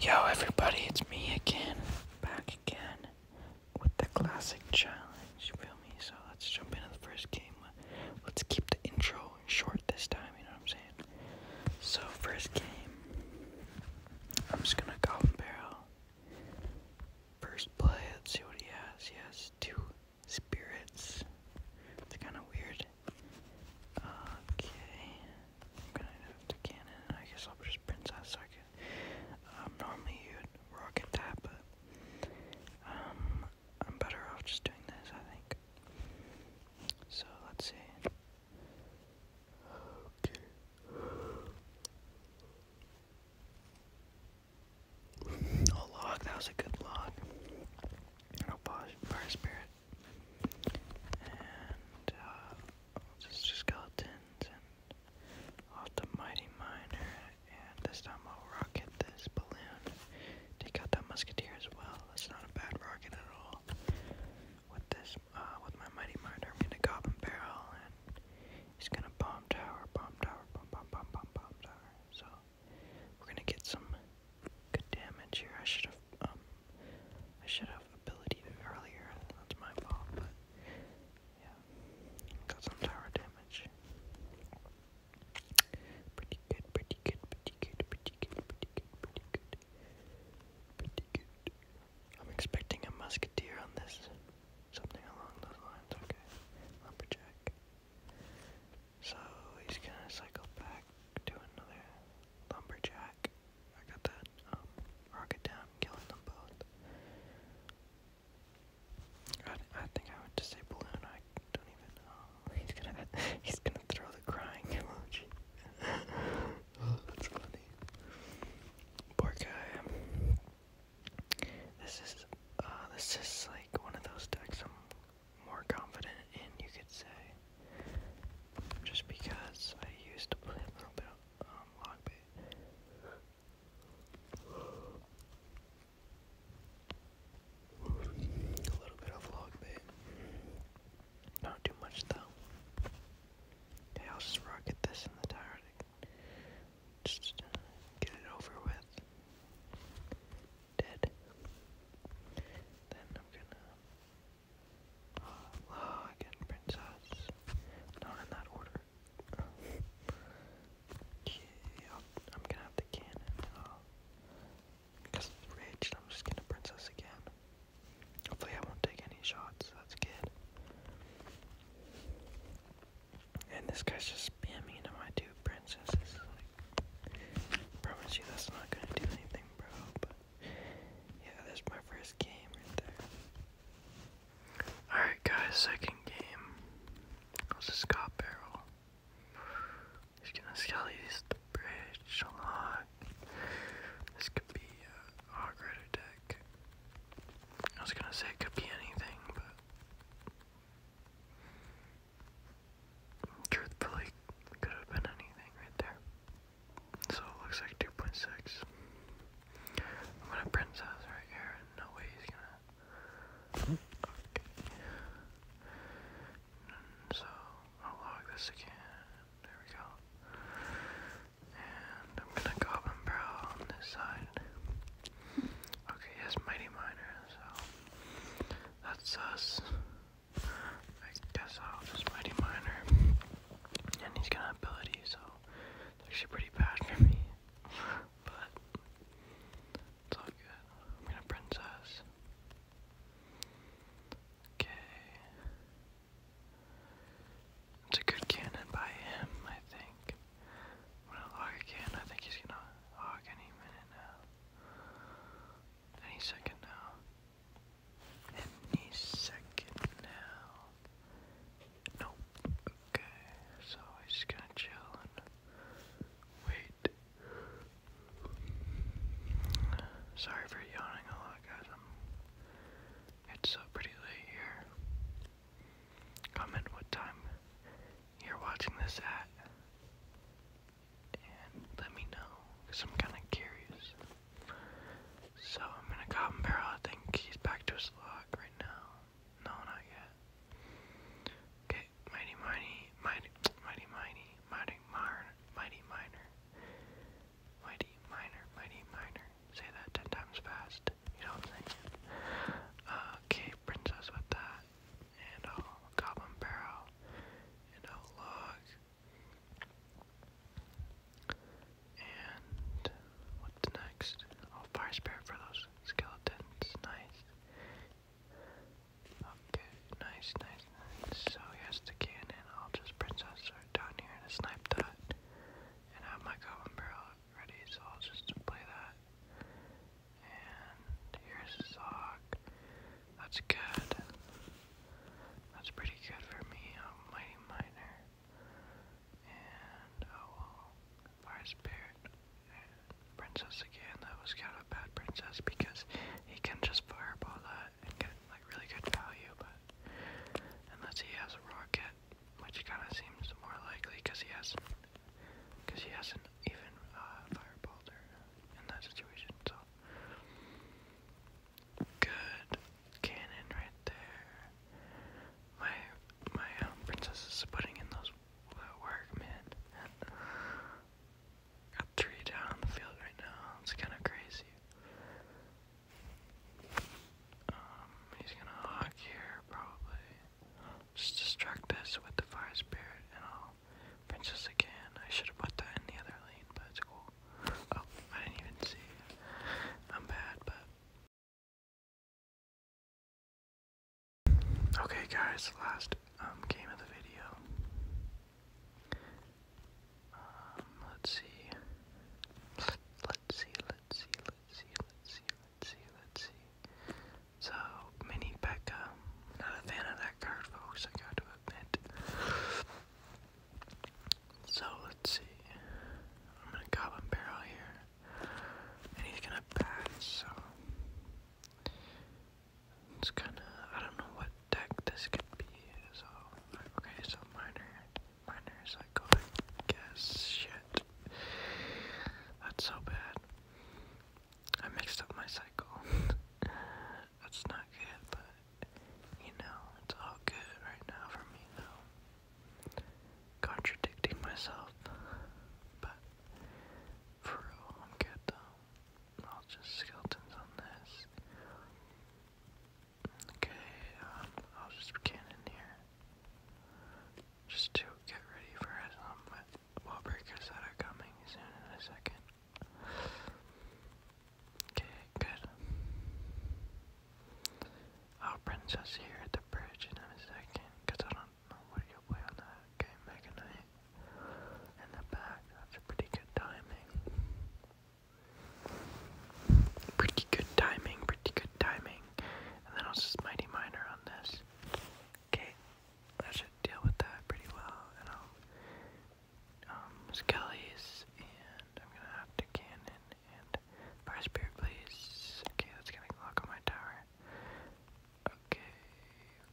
Yo, everybody, it's me again, back again with the classic challenge. You feel me? So let's jump into the first game. Let's keep the intro short this time, you know what I'm saying? So, first game, I'm just gonna go and barrel. First play, let's see what he has. He has two spirits. It's kind of weird. Okay. I'm gonna have to cannon. I guess I'll just princess so I can. Um, normally you'd rocket that, but um, I'm better off just doing this, I think. So let's see. Okay. Oh, log. That was a good log. i pause fire spirit. And uh, skeletons and off the mighty miner. And this time I'll rocket this balloon. Take out that musketeer as well. That's not a bad rocket at all. With this, uh, with my mighty miner, I'm gonna barrel and he's gonna bomb tower, bomb tower, bomb, bomb, bomb, bomb tower. So we're gonna get some good damage here. I should have um I should have ability earlier. That's my fault, but yeah. Got some tower damage. Pretty good, pretty good, pretty good, pretty good, pretty good, pretty good. Pretty good. I'm expecting a musketeer on this. Something along those lines, okay. Lumberjack. So he's gonna cycle back to another lumberjack. I got that um, rocket down, killing them both. I, I think I would just say balloon. I don't even know. He's gonna he's gonna throw the crying emoji. that's funny. Poor guy. This is uh this is like one of those decks i more confident in, you could say, just because I used to play a little bit of um, log bait. A little bit of log bait. Not too much though. Okay, I'll just rock rocket this in the tire just get it over with dead. Then I'm gonna Law oh, oh, again, Princess. Not in that order. yeah, I'm gonna have the cannon. because oh. it's raged, I'm just gonna Princess again. Hopefully, I won't take any shots. That's good. And this guy's just spamming into my two princesses. Promise you that's not gonna do anything, bro. But yeah, that's my first game right there. Alright, guys, second game was a Scott Barrel. He's gonna skelly the bridge a lot. This could be a uh, hog deck. I was gonna say it could be anything, but Truthfully, could have been anything right there. So it looks like 2.6. I'm gonna princess right here, no way he's gonna. Okay. so I'll log this again. There we go. And I'm gonna goblin barrel this side. Okay, yes, Mighty Miner, so that's us. I guess I'll just Mighty Miner. And he's got an so it's actually pretty bad for me. but it's all good. I'm going princess. Okay. It's a good cannon by him, I think gonna log again. I think he's gonna log any minute now. Any second now. Any second now. Nope. Okay, so he's just gonna chill and wait. Sorry for yawning a lot, guys. it's uh, pretty late here. Comment what time you're watching this at. And let me know, because I'm kind of curious. So I'm going to Cotton Barrel. I think he's back to his log right now. No, not yet. Okay, Mighty Mighty, Mighty, Mighty Mighty, Mighty Minor, Mighty Minor. Mighty Minor, Mighty Minor. Say that ten times fast it. You know what I'm saying? Uh, okay, princess with that. And a uh, goblin barrel. And a uh, log. And what's next? Oh, fire spirit for those skeletons. Nice. Okay, nice, nice, nice. So here's the cannon. I'll just princess her down here and snipe that. And have my goblin ready, so I'll just play that. And here's the sock. That's good. That's pretty good for me. I'm mighty minor. And oh well. Fire spirit. Princess again. That was kind of a bad princess because he can just fireball that and get like really good value, but unless he has a rocket which kind of seems more likely because he hasn't, because he hasn't even uh, fireballed her in that situation. So good cannon right there. My my um, princess is putting in those uh, work, man. Got three down on the field right now. It's kind of crazy. Um, he's gonna hawk here, probably. Just distract this with the fire spirit, and I'll princess again. I should have put that in the other lane, but it's cool. Oh, I didn't even see. I'm bad, but okay, guys. Last um game of the video. Um, let's see. Let's see, let's see, let's see, let's see, let's see, So, Mini Pekka. Not a fan of that card, folks, I got to admit. So, let's see. I'm gonna goblin barrel here. And he's gonna pass, so. It's kinda. I don't know what deck this could be. So, okay, so minor, minor is guess, shit. That's so bad. I mixed up my cycle. That's not good, but, you know, it's all good right now for me, though. Contradicting myself, but, for real, I'm good, though. I'll just skeletons on this. Okay, um, I'll just begin in here. Just to get ready for some um, wall breakers that are coming soon in a second. Okay, good. I'll oh, princess here at the bridge in a second, because I don't know what you'll play on that game, Mega Knight. In the back, that's a pretty good timing. Pretty good timing, pretty good timing. And then I'll just Mighty minor on this. Okay, that should deal with that pretty well. And I'll, um, Skelly's, and I'm gonna have to Cannon and Fire Spirit, please. Okay, that's gonna lock on my tower. Okay,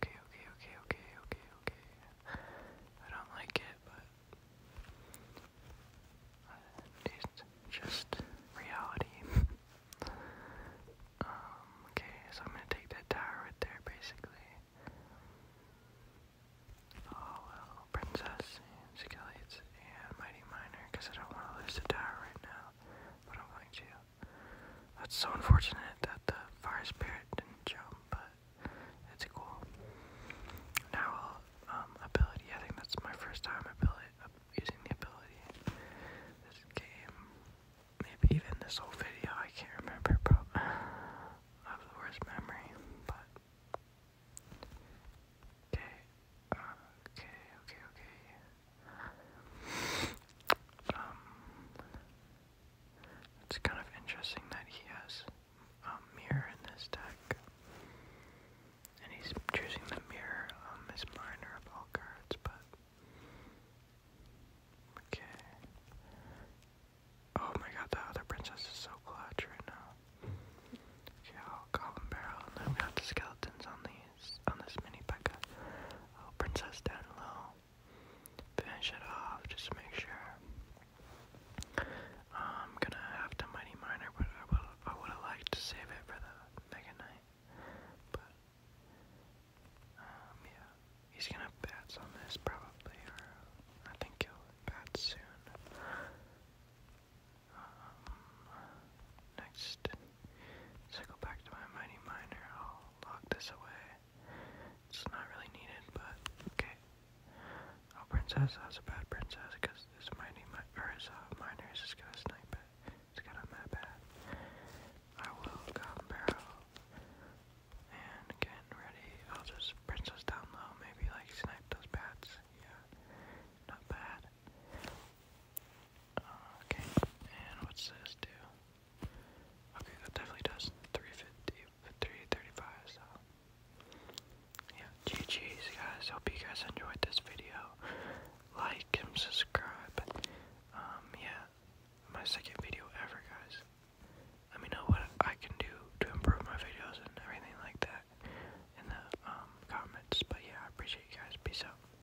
okay, okay, okay, okay, okay, okay. I don't like it, but it's just reality. Um, okay, so I'm gonna take that tower right there, basically. Oh princess and and mighty miner, because I don't want to lose the tower right now, but I'm going to. That's so unfortunate that the fire spirit didn't jump, but it's cool. Now, um, ability. I think that's my first time ability using the ability. This game, maybe even this whole video. I can't remember, bro. I have the worst memory, but okay, okay, okay, okay. Um, it's kind of interesting that he has a mirror in this deck. And he's choosing the mirror, um, his minor of all cards, but. Okay. Oh my god, the other princess is so clutch right now. Okay, I'll Goblin Barrel, and then got the skeletons on these, on this mini P.E.K.K.A. Oh, Princess down low finish it off just make sure. I'm gonna have to Mighty Miner, but I would I would have liked to save it for the Mega Knight. But um yeah. He's gonna bats on this probably I think he'll bat soon. Um next so back to my Mighty Miner lock this away. It's not really needed, but okay. Oh, Princess, that's a bad princess, because this mining, mi or his uh, miner is gonna snipe it. It's gonna map it. I will come barrel and getting ready. I'll just princess down low, maybe like snipe those bats. Yeah, not bad. Okay, and what's this do? Okay, that definitely does. 350, so. Yeah, GG's, guys. Hope you guys enjoyed this video. Like and subscribe. Um, yeah, my second video ever, guys. Let me know what I can do to improve my videos and everything like that in the um, comments. But yeah, I appreciate you guys. Peace out.